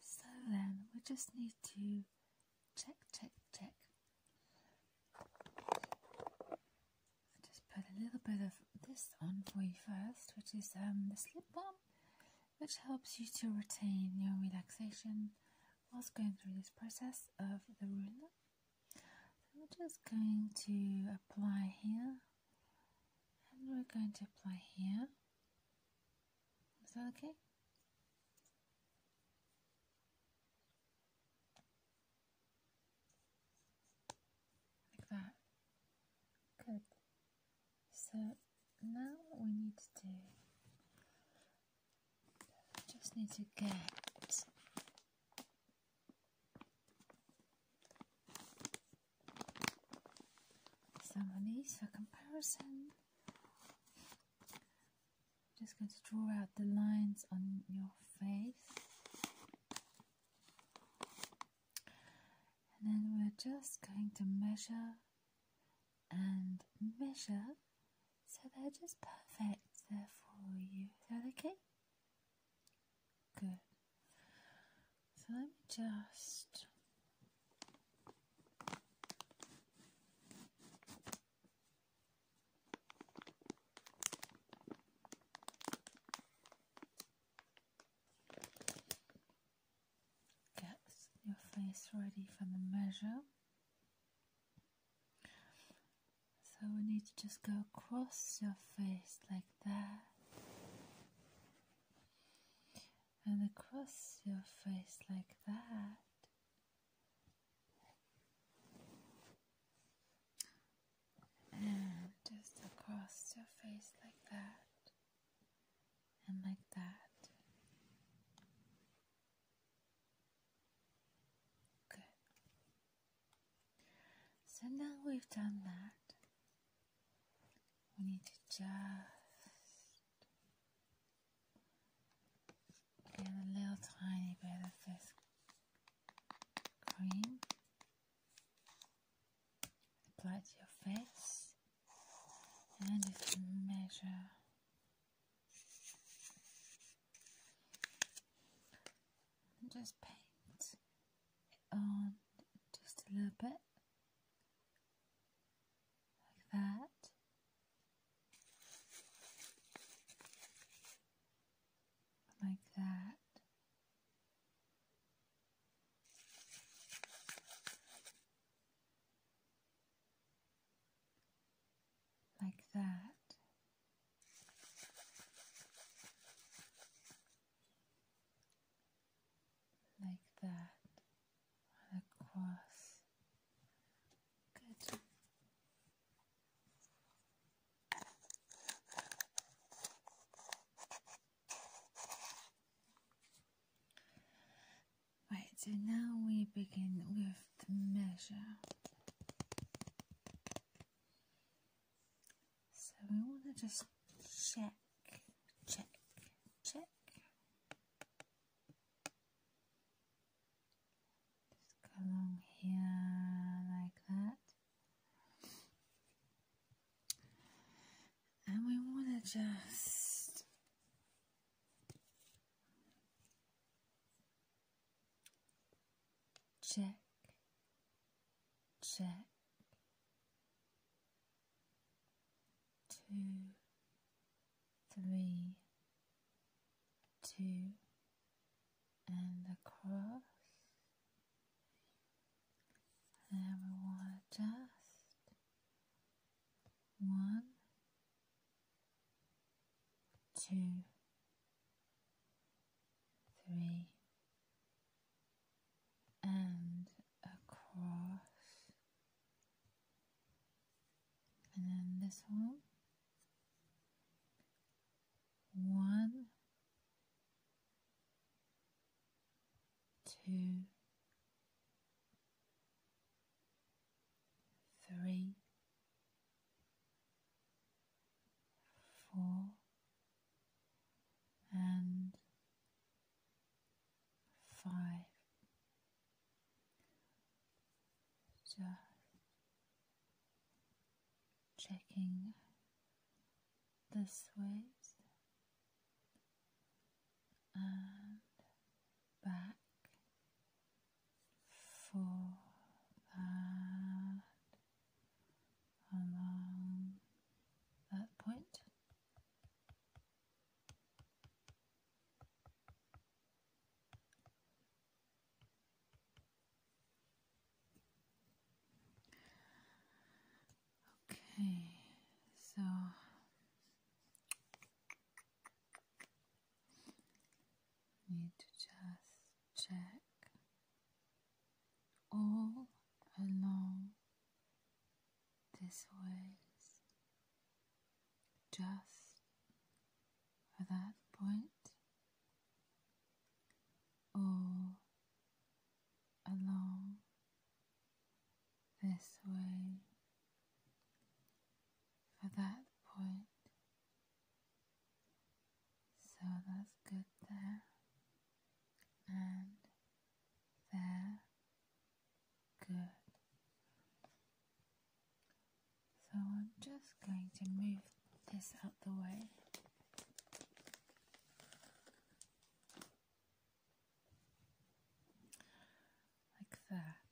So then we just need to check, check, check. i just put a little bit of this on for you first, which is um, the slip balm, which helps you to retain your relaxation whilst going through this process of the ruler. So we're just going to apply here and we're going to apply here. Is that okay? Like that. Good. So now what we need to do just need to get some of these for comparison. Just going to draw out the lines on your face, and then we're just going to measure and measure so they're just perfect there for you. Is that okay? Good. So let me just. Get your face ready for the measure. So we need to just go across your face like that. And across your face like that. And just across your face like that. And like that. Good. So now we've done that, we need to just get a little tiny bit of this cream, apply to your face, and just measure just paint it on just a little bit like that. Like that. Like that like that across. Good. Right, so now we begin with the measure. So we want to just check, check, check. Just go along here like that. And we want to just check, check, two, three, two, and across. And we one, two, three, and across, and then this one, one, two, three, four, and five. Just checking the waves and back for that along that point. Okay, so Need to just check all along this ways, just for that point, all along this way for that point. So that's good there and there. Good. So I'm just going to move this out the way like that.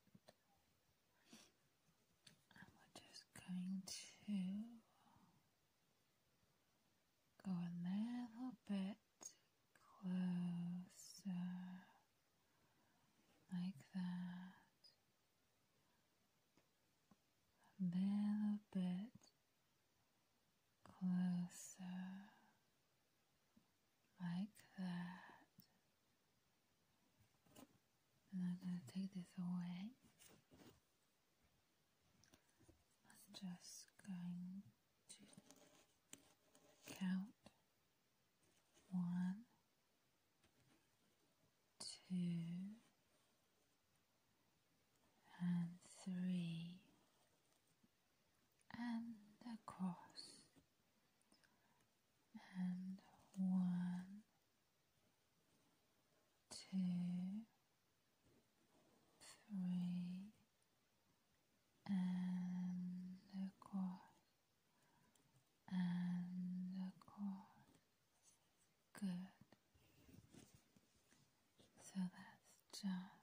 And we're just going to go a little bit closer, like that. A little bit closer like that. And I'm going to take this away. I'm just going to count one, two, and three and across and one two three and across and across good so that's just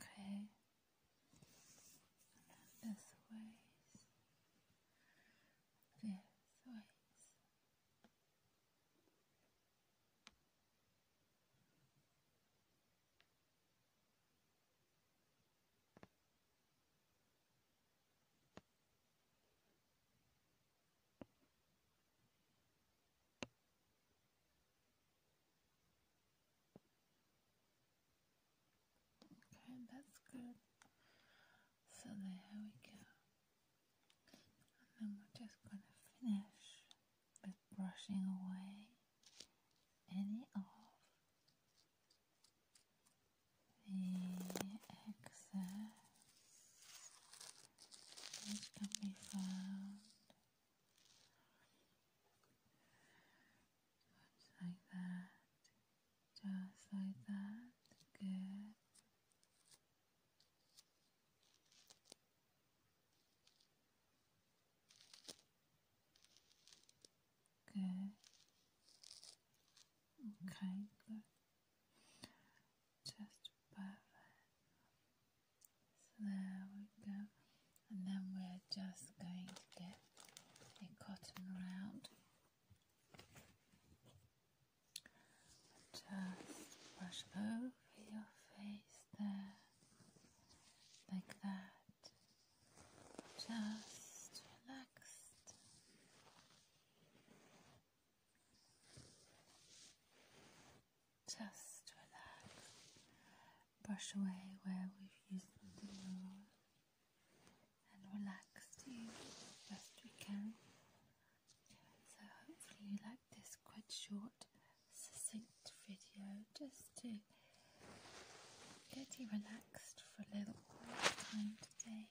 Okay. this ways. This ways. Okay, that's good. So there we go. And then we're just gonna finish with brushing away any of the excess which can be found just like that. Just like that. Good. Good. Okay, Just perfect. So there we go. And then we're just going to get a cotton round. Just brush over your face there, like that. Just relaxed. Just relax. Brush away where we've used the roll and relax to you as best we can. So hopefully you like this quite short, succinct video just to get you relaxed for a little time today.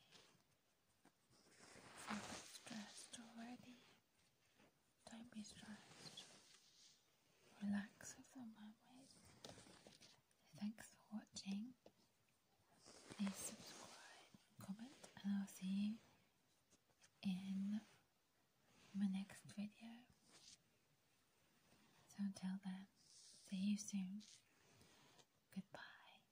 I'm stressed already. Don't be stressed. Relax with your mermaid. Thanks for watching. Please subscribe, comment, and I'll see you in my next video. So until then, see you soon. Goodbye.